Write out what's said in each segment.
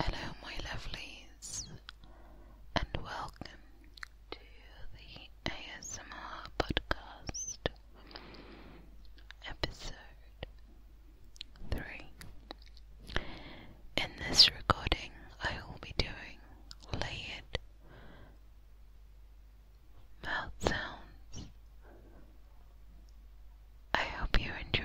Hello, my lovelies, and welcome to the ASMR podcast episode in this recording, I will be doing layered mouth sounds. I hope you enjoy.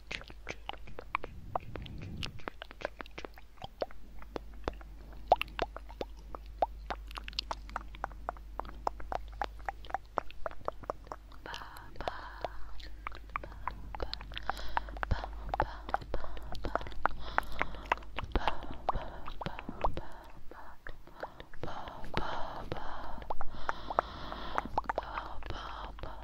爸爸。